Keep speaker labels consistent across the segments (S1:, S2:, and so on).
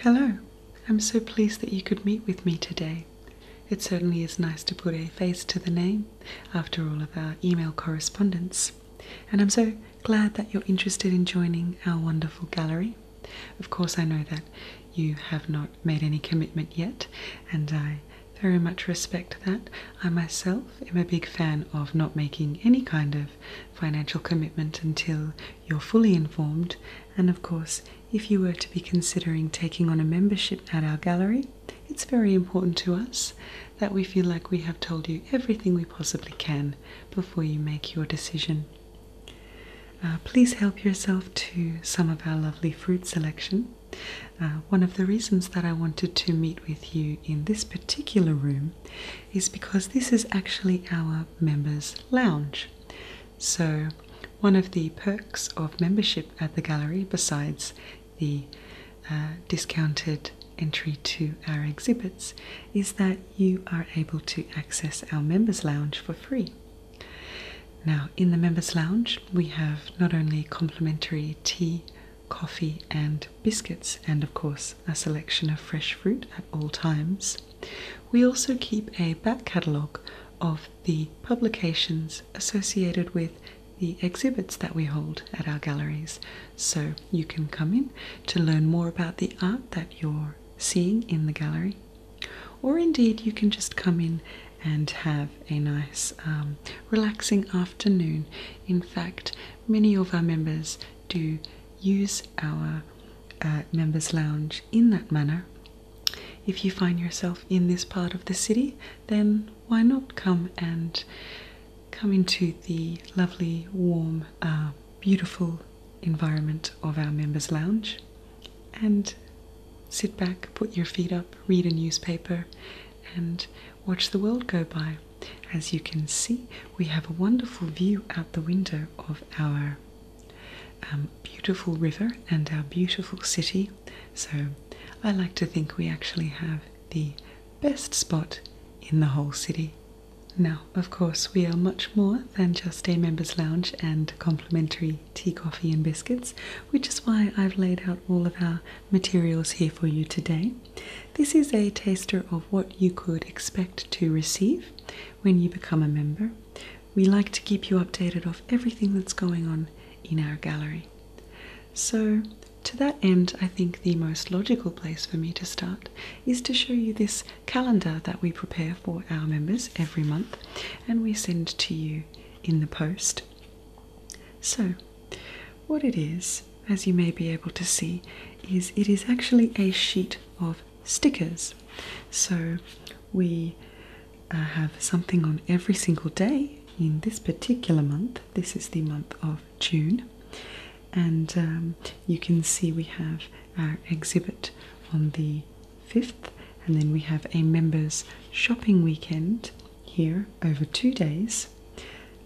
S1: Hello, I'm so pleased that you could meet with me today. It certainly is nice to put a face to the name after all of our email correspondence, and I'm so glad that you're interested in joining our wonderful gallery. Of course, I know that you have not made any commitment yet, and I very much respect that. I myself am a big fan of not making any kind of financial commitment until you're fully informed. And of course, if you were to be considering taking on a membership at our gallery, it's very important to us that we feel like we have told you everything we possibly can before you make your decision. Uh, please help yourself to some of our lovely fruit selection. Uh, one of the reasons that I wanted to meet with you in this particular room is because this is actually our members' lounge. So, one of the perks of membership at the gallery, besides the uh, discounted entry to our exhibits, is that you are able to access our members' lounge for free. Now, in the members' lounge, we have not only complimentary tea, coffee, and biscuits, and of course, a selection of fresh fruit at all times. We also keep a back catalogue of the publications associated with the exhibits that we hold at our galleries, so you can come in to learn more about the art that you're seeing in the gallery, or indeed you can just come in and have a nice, um, relaxing afternoon. In fact, many of our members do use our members' lounge in that manner. If you find yourself in this part of the city, then why not come and come into the lovely, warm, uh, beautiful environment of our members' lounge and sit back, put your feet up, read a newspaper, and watch the world go by as you can see, we have a wonderful view out the window of our um, beautiful river and our beautiful city. So, I like to think we actually have the best spot in the whole city. Now, of course, we are much more than just a members' lounge and complimentary tea, coffee, and biscuits, which is why I've laid out all of our materials here for you today. This is a taster of what you could expect to receive when you become a member. We like to keep you updated of everything that's going on in our gallery. So, to that end, I think the most logical place for me to start is to show you this calendar that we prepare for our members every month and we send to you in the post. So, what it is, as you may be able to see, is it is actually a sheet of stickers. So we uh, have something on every single day in this particular month. This is the month of June, and um, you can see we have our exhibit on the 5th, and then we have a members' shopping weekend here over two days.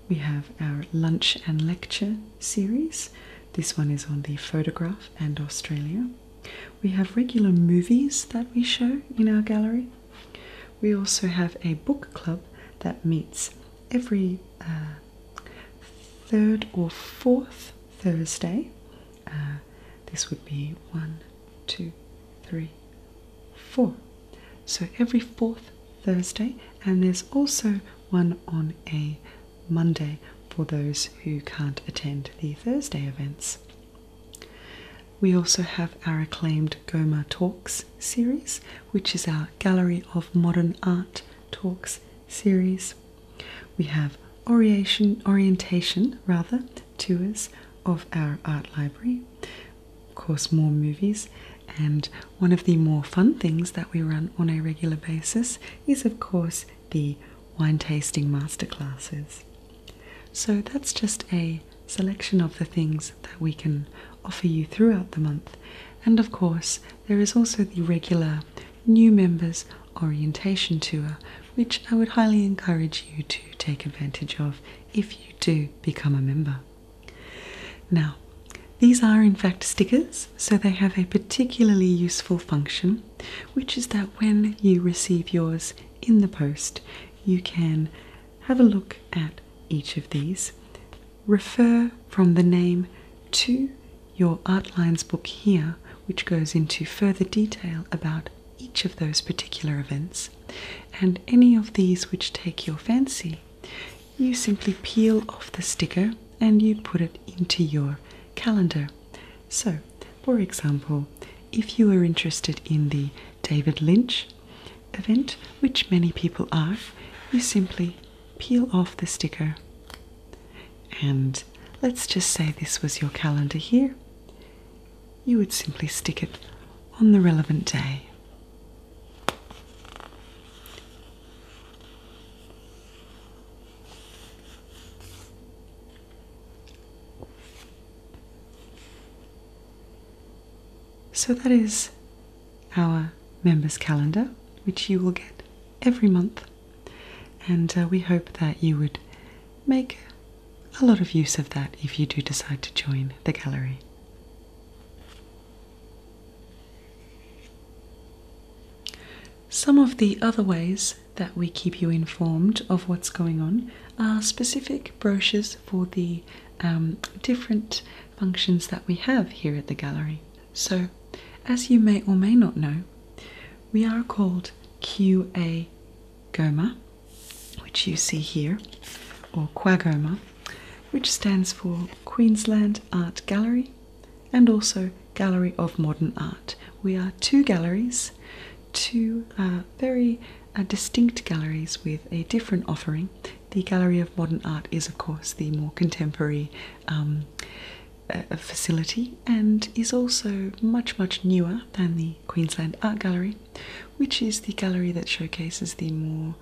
S1: We have our lunch and lecture series this one is on the photograph and Australia. We have regular movies that we show in our gallery. We also have a book club that meets every uh, third or fourth Thursday. Uh, this would be one, two, three, four. So every fourth Thursday, and there's also one on a Monday for those who can't attend the Thursday events. We also have our acclaimed Goma Talks series, which is our Gallery of Modern Art Talks series. We have orientation, rather, tours of our art library, of course, more movies, and one of the more fun things that we run on a regular basis is, of course, the wine tasting masterclasses. So that's just a selection of the things that we can offer you throughout the month. And of course, there is also the regular new members orientation tour, which I would highly encourage you to take advantage of if you do become a member. Now, these are in fact stickers, so they have a particularly useful function, which is that when you receive yours in the post, you can have a look at each of these, refer from the name to your Artlines book here, which goes into further detail about each of those particular events, and any of these which take your fancy, you simply peel off the sticker and you put it into your calendar. So, for example, if you are interested in the David Lynch event, which many people are, you simply peel off the sticker. And let's just say this was your calendar here. You would simply stick it on the relevant day. So that is our members calendar, which you will get every month. And uh, we hope that you would make a lot of use of that if you do decide to join the gallery. Some of the other ways that we keep you informed of what's going on are specific brochures for the um, different functions that we have here at the gallery. So, as you may or may not know, we are called QA GOMA, which you see here, or QAGOMA, which stands for Queensland Art Gallery and also Gallery of Modern Art. We are two galleries, two uh, very uh, distinct galleries with a different offering. The Gallery of Modern Art is, of course, the more contemporary um, uh, facility and is also much, much newer than the Queensland Art Gallery, which is the gallery that showcases the more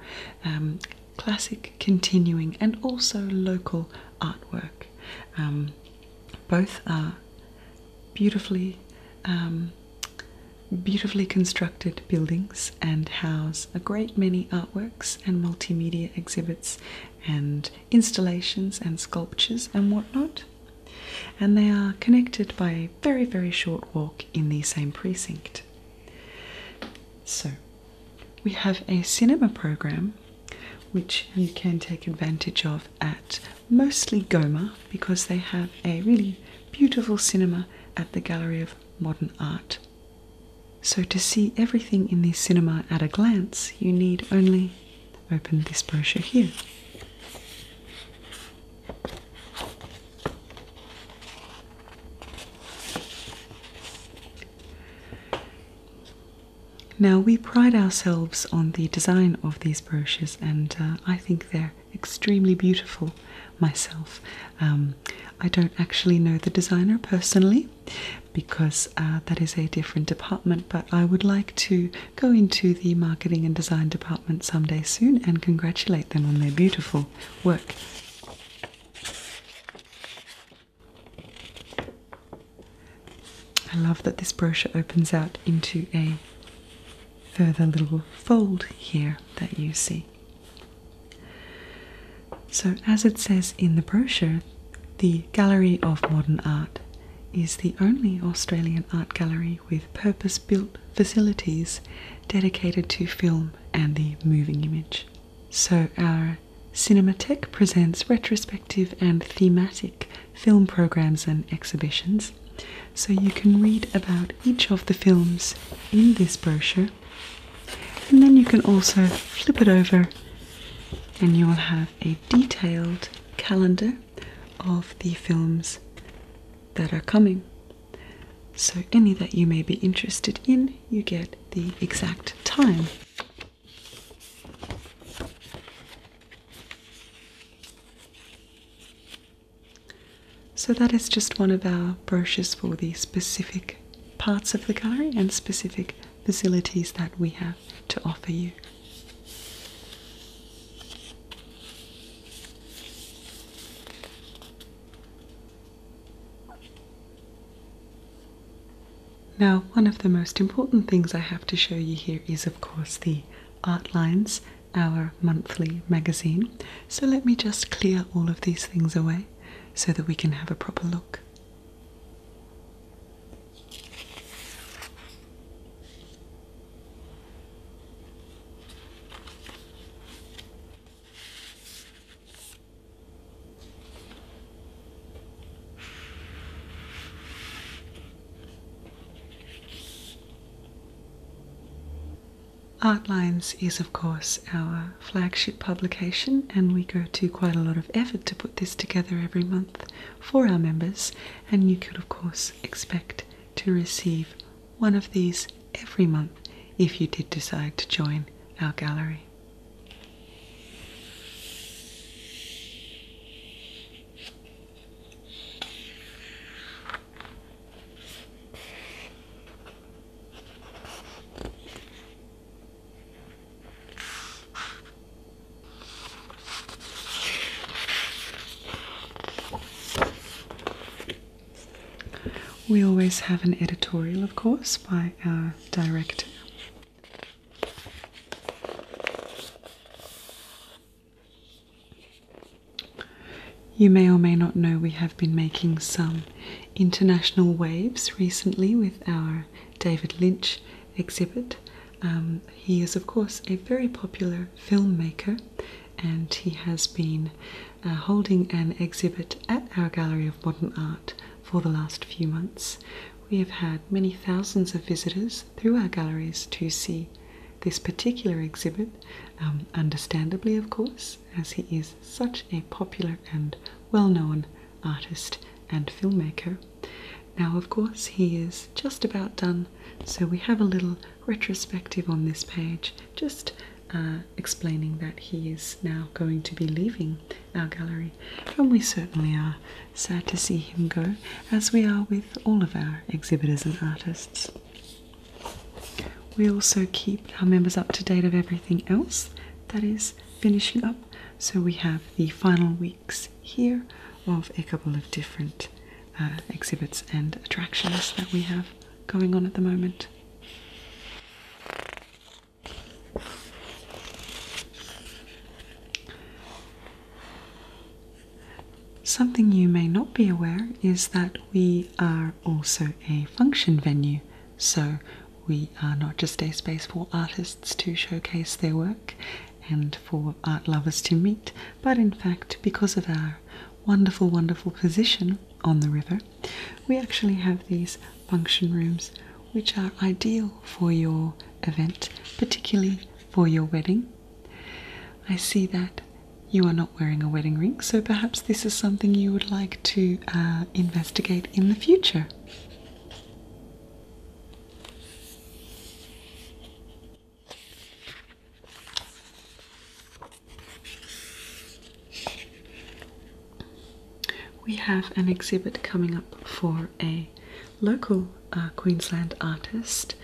S1: um, classic, continuing, and also local artwork. Um, both are beautifully, um, beautifully constructed buildings and house a great many artworks and multimedia exhibits and installations and sculptures and whatnot. And they are connected by a very, very short walk in the same precinct. So, we have a cinema program which you can take advantage of at mostly Goma because they have a really beautiful cinema at the Gallery of Modern Art. So, to see everything in the cinema at a glance, you need only open this brochure here. Now, we pride ourselves on the design of these broches, and uh, I think they're extremely beautiful myself. Um, I don't actually know the designer personally because uh, that is a different department, but I would like to go into the marketing and design department someday soon and congratulate them on their beautiful work. I love that this brochure opens out into a further little fold here that you see. So, as it says in the brochure, the Gallery of Modern Art is the only Australian art gallery with purpose built facilities dedicated to film and the moving image. So, our Cinema. Cinematheque presents retrospective and thematic film programs and exhibitions, so you can read about each of the films in this brochure. And then you can also flip it over, and you will have a detailed calendar of the films that are coming. So, any that you may be interested in, you get the exact time so that is just one of our brochures for the specific parts of the gallery and specific facilities that we have to offer you. Now, one of the most important things I have to show you here is, of course, the Artlines, our monthly magazine. So let me just clear all of these things away so that we can have a proper look. Artlines is, of course, our flagship publication, and we go to quite a lot of effort to put this together every month for our members. And you could, of course, expect to receive one of these every month if you did decide to join our gallery. We always have an editorial, of course, by our Direct. You may or may not know we have been making some international waves recently with our David Lynch exhibit. Um, he is, of course, a very popular filmmaker and he has been uh, holding an exhibit at our Gallery of Modern Art for the last few months, we have had many thousands of visitors through our galleries to see this particular exhibit, um, understandably, of course, as he is such a popular and well known artist and filmmaker. Now, of course, he is just about done, so we have a little retrospective on this page, just uh, explaining that he is now going to be leaving our gallery, and we certainly are sad to see him go, as we are with all of our exhibitors and artists. We also keep our members up to date of everything else that is finishing up, so we have the final weeks here of a couple of different uh, exhibits and attractions that we have going on at the moment. Something you may not be aware is that we are also a function venue, so we are not just a space for artists to showcase their work and for art lovers to meet, but in fact, because of our wonderful, wonderful position on the river, we actually have these function rooms which are ideal for your event, particularly for your wedding. I see that you are not wearing a wedding ring, so perhaps this is something you would like to uh, investigate in the future. We have an exhibit coming up for a local uh, Queensland artist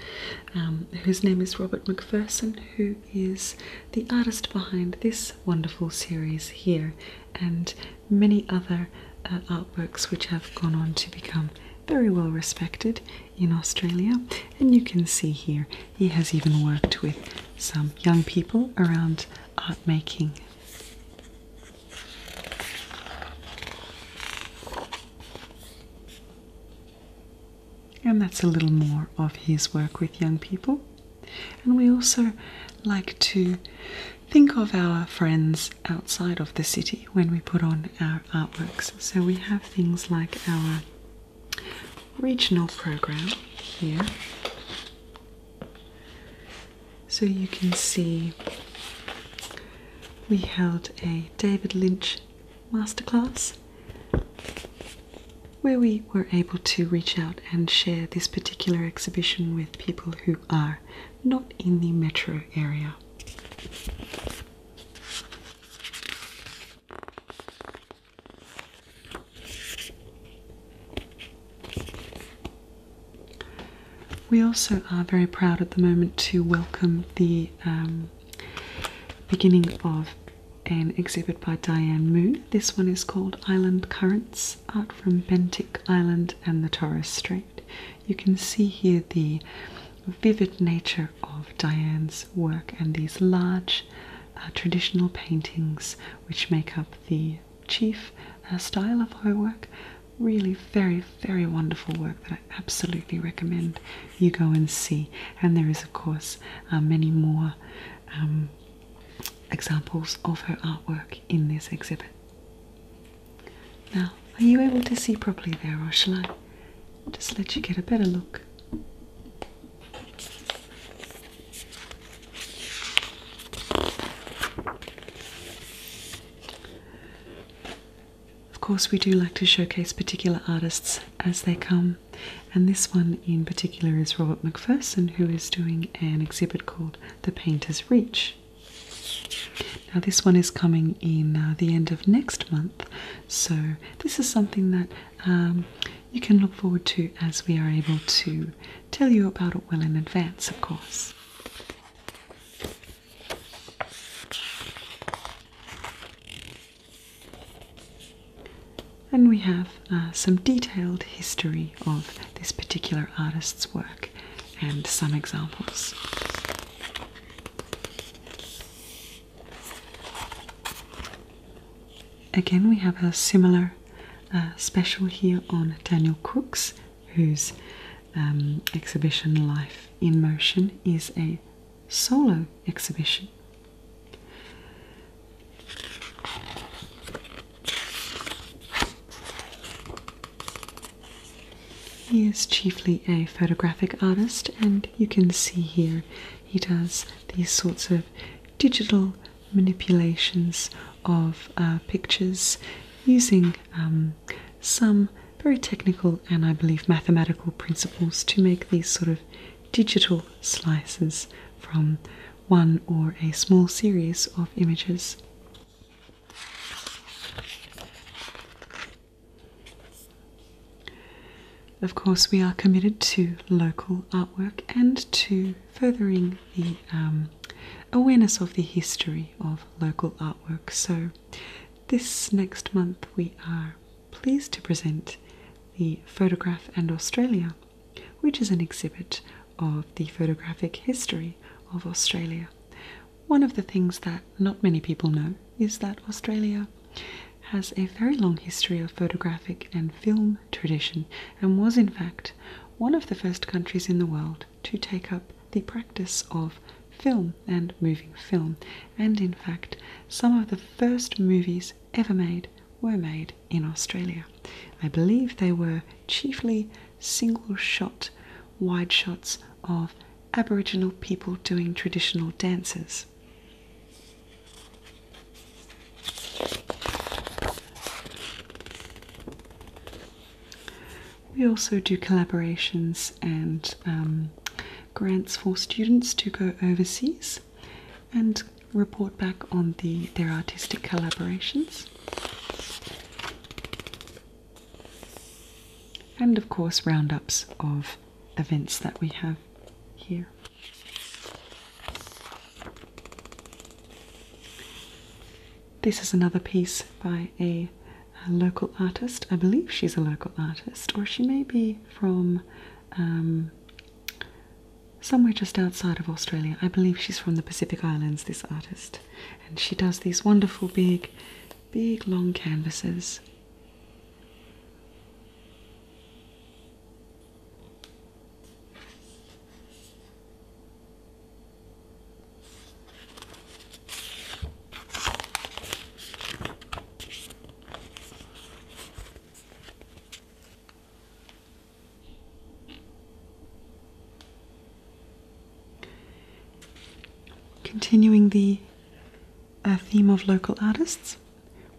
S1: um, whose name is Robert McPherson, who is the artist behind this wonderful series here and many other uh, artworks which have gone on to become very well respected in Australia. And you can see here he has even worked with some young people around art making and that's a little more of his work with young people. And we also like to think of our friends outside of the city when we put on our artworks. So we have things like our regional program here so you can see we held a David Lynch masterclass where we were able to reach out and share this particular exhibition with people who are not in the metro area. We also are very proud at the moment to welcome the um, beginning of an exhibit by Diane Moon. This one is called Island Currents Art from Bentic Island and the Torres Strait. You can see here the vivid nature of Diane's work and these large uh, traditional paintings which make up the chief uh, style of her work. Really, very, very wonderful work that I absolutely recommend you go and see. And there is, of course, uh, many more um, examples of her artwork in this exhibit. Now, are you able to see properly there, or shall I just let you get a better look? Of course, we do like to showcase particular artists as they come, and this one in particular is Robert McPherson, who is doing an exhibit called The Painter's Reach. Now, this one is coming in uh, the end of next month, so this is something that um, you can look forward to as we are able to tell you about it well in advance, of course. And we have uh, some detailed history of this particular artist's work and some examples again, we have a similar uh, special here on Daniel Cooks, whose um, exhibition Life in Motion is a solo exhibition. He is chiefly a photographic artist, and you can see here he does these sorts of digital manipulations of uh, pictures using um, some very technical and I believe mathematical principles to make these sort of digital slices from one or a small series of images. Of course, we are committed to local artwork and to furthering the um, awareness of the history of local artwork. So, this next month we are pleased to present the Photograph and Australia, which is an exhibit of the photographic history of Australia. One of the things that not many people know is that Australia has a very long history of photographic and film tradition and was, in fact, one of the first countries in the world to take up the practice of film and moving film, and in fact, some of the first movies ever made were made in Australia. I believe they were chiefly single shot, wide shots of Aboriginal people doing traditional dances. We also do collaborations and um, grants for students to go overseas and report back on the, their artistic collaborations. And of course, roundups of events that we have here. This is another piece by a, local artist. I believe she's a local artist, or she may be from um, somewhere just outside of Australia. I believe she's from the Pacific Islands, this artist. And she does these wonderful big, big long canvases. Continuing the uh, theme of local artists,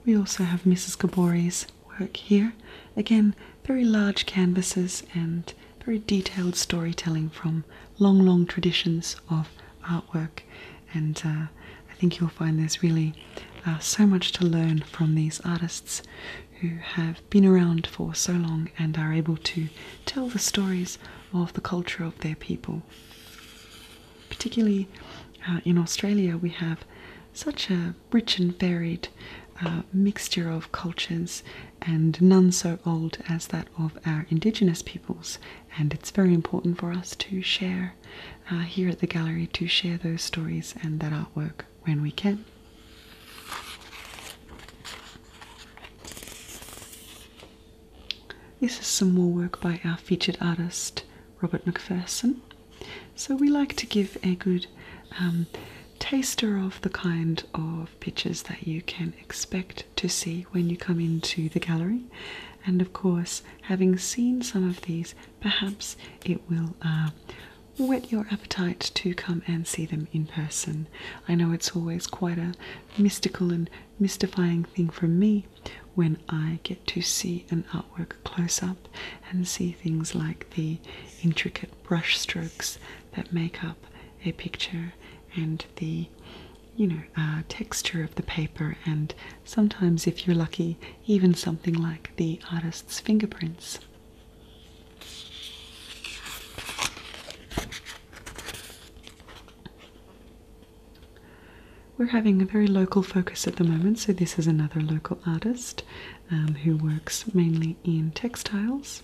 S1: we also have Mrs. Gabori's work here. Again, very large canvases and very detailed storytelling from long, long traditions of artwork. And uh, I think you'll find there's really uh, so much to learn from these artists who have been around for so long and are able to tell the stories of the culture of their people. Particularly uh, in Australia, we have such a rich and varied uh, mixture of cultures and none so old as that of our indigenous peoples. And it's very important for us to share uh, here at the gallery to share those stories and that artwork when we can. This is some more work by our featured artist Robert McPherson. So we like to give a good um, taster of the kind of pictures that you can expect to see when you come into the gallery. And of course, having seen some of these, perhaps it will uh, whet your appetite to come and see them in person. I know it's always quite a mystical and mystifying thing for me when I get to see an artwork close up and see things like the intricate brush strokes that make up a picture and the you know uh, texture of the paper and sometimes if you're lucky even something like the artist's fingerprints we're having a very local focus at the moment so this is another local artist um, who works mainly in textiles.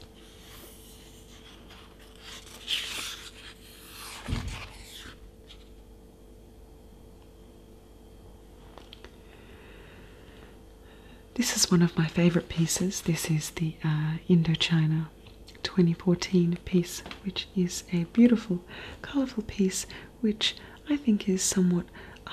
S1: This is one of my favourite pieces. This is the uh, Indochina 2014 piece, which is a beautiful, colourful piece, which I think is somewhat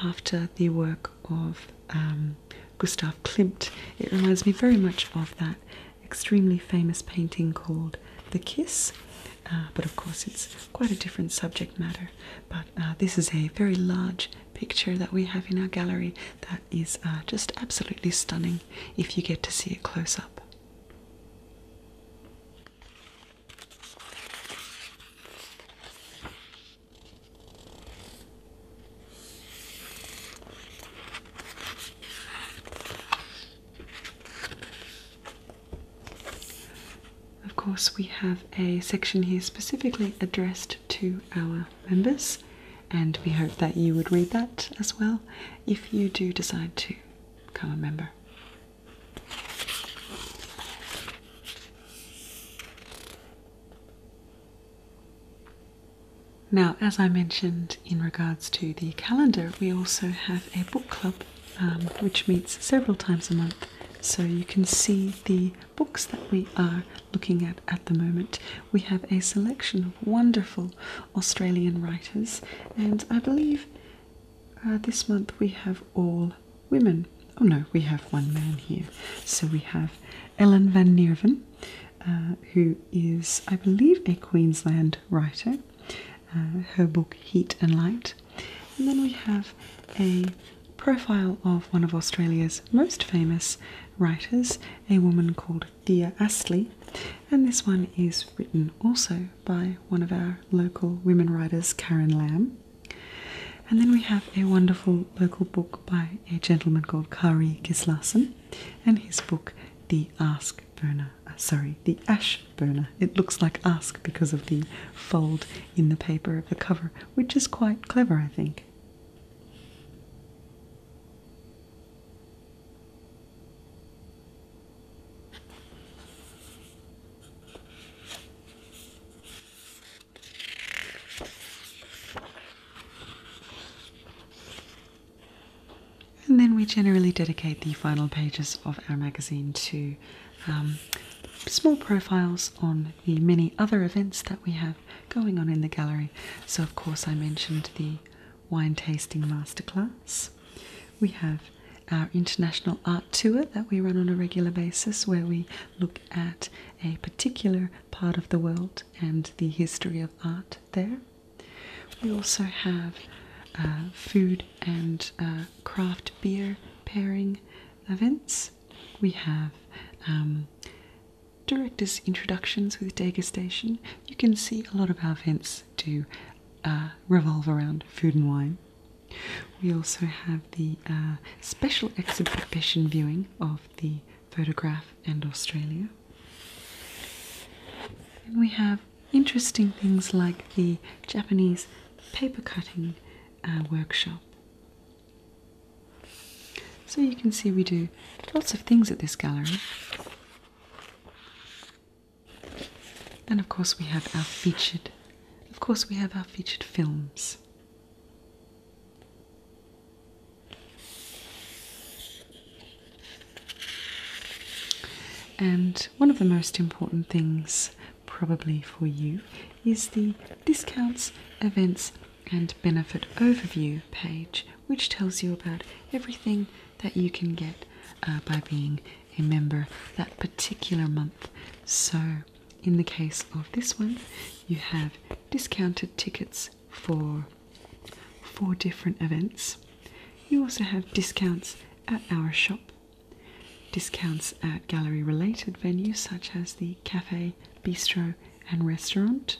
S1: after the work of um, Gustav Klimt. It reminds me very much of that extremely famous painting called The Kiss, uh, but of course it's quite a different subject matter. But uh, this is a very large picture that we have in our gallery that is uh, just absolutely stunning if you get to see it close up. Of course, we have a section here specifically addressed to our members, and we hope that you would read that as well if you do decide to become a member. Now, as I mentioned in regards to the calendar, we also have a book club um, which meets several times a month. So you can see the books that we are looking at at the moment. We have a selection of wonderful Australian writers, and I believe uh, this month we have all women. Oh no, we have one man here. So we have Ellen van Nerven, uh, who is, I believe, a Queensland writer. Uh, her book Heat and Light. And then we have a profile of one of Australia's most famous writers, a woman called Thea Astley. And this one is written also by one of our local women writers, Karen Lamb. And then we have a wonderful local book by a gentleman called Kari Kislason and his book The Ask Burner. Uh, sorry, The Ash Burner. It looks like ask because of the fold in the paper of the cover, which is quite clever, I think. And then we generally dedicate the final pages of our magazine to um, small profiles on the many other events that we have going on in the gallery. So, of course, I mentioned the wine tasting masterclass. We have our international art tour that we run on a regular basis where we look at a particular part of the world and the history of art there. We also have uh, food and uh, craft beer pairing events. We have um, directors' introductions with degustation. You can see a lot of our events do uh, revolve around food and wine. We also have the uh, special exhibition viewing of the photograph and Australia. we have interesting things like the Japanese paper cutting uh, workshop. So you can see we do lots of things at this gallery. And of course we have our featured, of course we have our featured films. And one of the most important things, probably for you, is the discounts, events, and benefit overview page, which tells you about everything that you can get uh, by being a member that particular month. So in the case of this one, you have discounted tickets for four different events. You also have discounts at our shop, discounts at gallery related venues such as the cafe, bistro, and restaurant.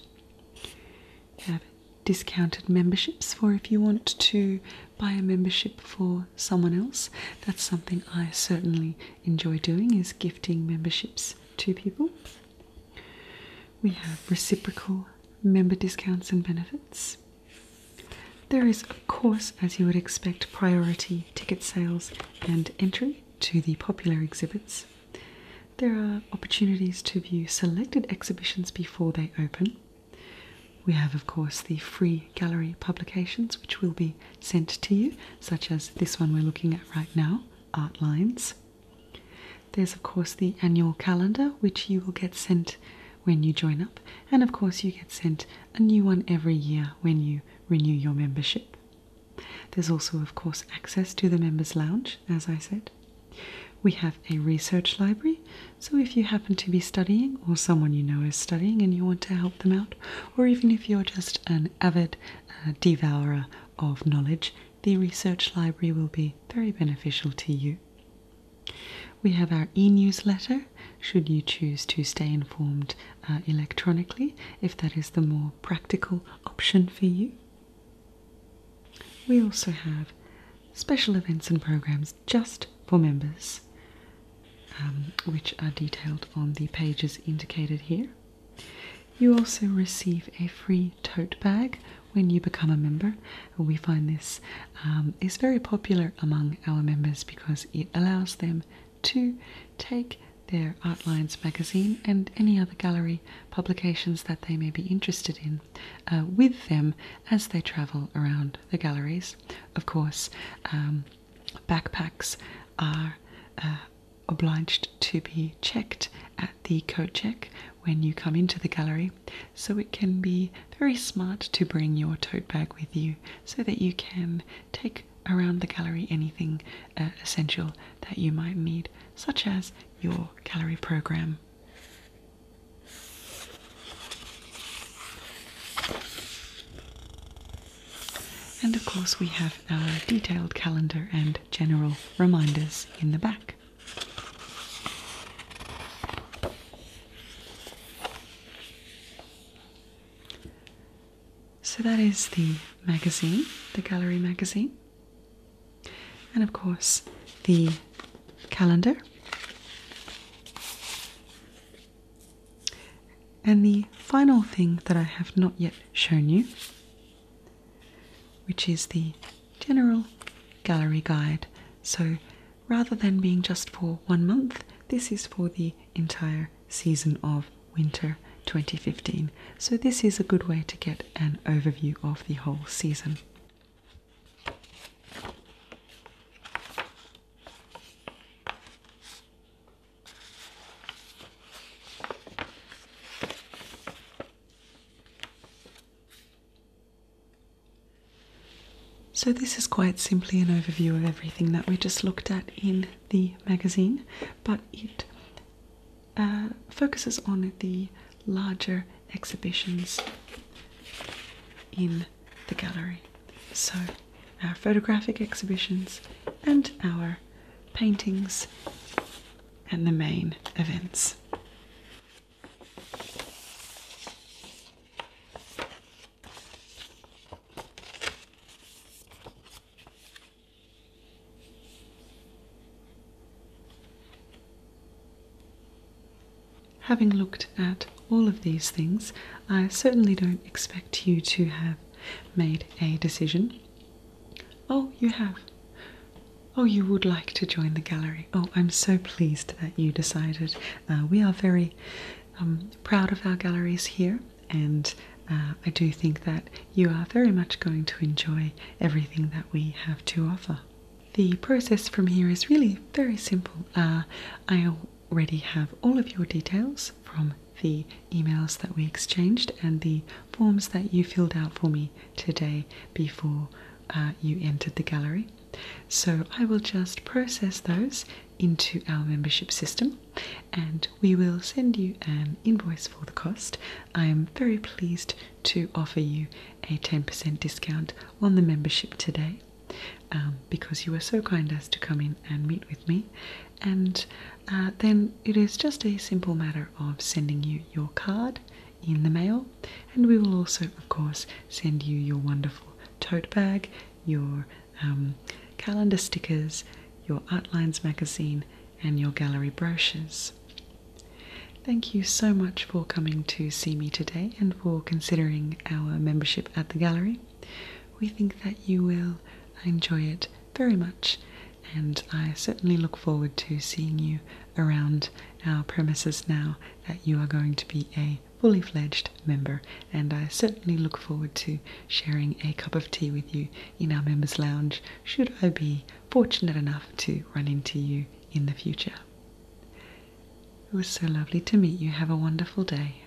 S1: You have discounted memberships for if you want to buy a membership for someone else. That's something I certainly enjoy doing is gifting memberships to people. We have reciprocal member discounts and benefits. There is, of course, as you would expect, priority ticket sales and entry to the popular exhibits. There are opportunities to view selected exhibitions before they open. We have, of course, the free gallery publications, which will be sent to you, such as this one we're looking at right now, Art Lines. There's, of course, the annual calendar, which you will get sent when you join up, and of course, you get sent a new one every year when you renew your membership. There's also, of course, access to the members' lounge, as I said. We have a research library, so if you happen to be studying, or someone you know is studying and you want to help them out, or even if you're just an avid uh, devourer of knowledge, the research library will be very beneficial to you. We have our e newsletter, should you choose to stay informed uh, electronically, if that is the more practical option for you. We also have special events and programs just for members. Um, which are detailed on the pages indicated here. You also receive a free tote bag when you become a member. We find this um, is very popular among our members because it allows them to take their Artlines magazine and any other gallery publications that they may be interested in uh, with them as they travel around the galleries. Of course, um, backpacks are uh, obliged to be checked at the coat check when you come into the gallery, so it can be very smart to bring your tote bag with you so that you can take around the gallery anything uh, essential that you might need, such as your gallery program. And of course, we have our detailed calendar and general reminders in the back. So that is the magazine, the gallery magazine. And of course, the calendar. And the final thing that I have not yet shown you, which is the general gallery guide. So rather than being just for one month, this is for the entire season of winter 2015. So this is a good way to get an overview of the whole season. So, this is quite simply an overview of everything that we just looked at in the magazine, but it uh, focuses on the larger exhibitions in the gallery. So, our photographic exhibitions, and our paintings and the main events. Having looked at all of these things, I certainly don't expect you to have made a decision. Oh, you have. Oh, you would like to join the gallery. Oh, I'm so pleased that you decided. Uh, we are very um, proud of our galleries here, and uh, I do think that you are very much going to enjoy everything that we have to offer. The process from here is really very simple. Uh, I already have all of your details from the emails that we exchanged and the forms that you filled out for me today before uh, you entered the gallery. So I will just process those into our membership system and we will send you an invoice for the cost. I am very pleased to offer you a 10% discount on the membership today um, because you were so kind as to come in and meet with me and uh, then it is just a simple matter of sending you your card in the mail, and we will also, of course, send you your wonderful tote bag, your um, calendar stickers, your Artlines magazine, and your gallery brochures. Thank you so much for coming to see me today and for considering our membership at the gallery. We think that you will enjoy it very much, and I certainly look forward to seeing you around our premises now that you are going to be a fully fledged member. And I certainly look forward to sharing a cup of tea with you in our members' lounge should I be fortunate enough to run into you in the future. It was so lovely to meet you. Have a wonderful day.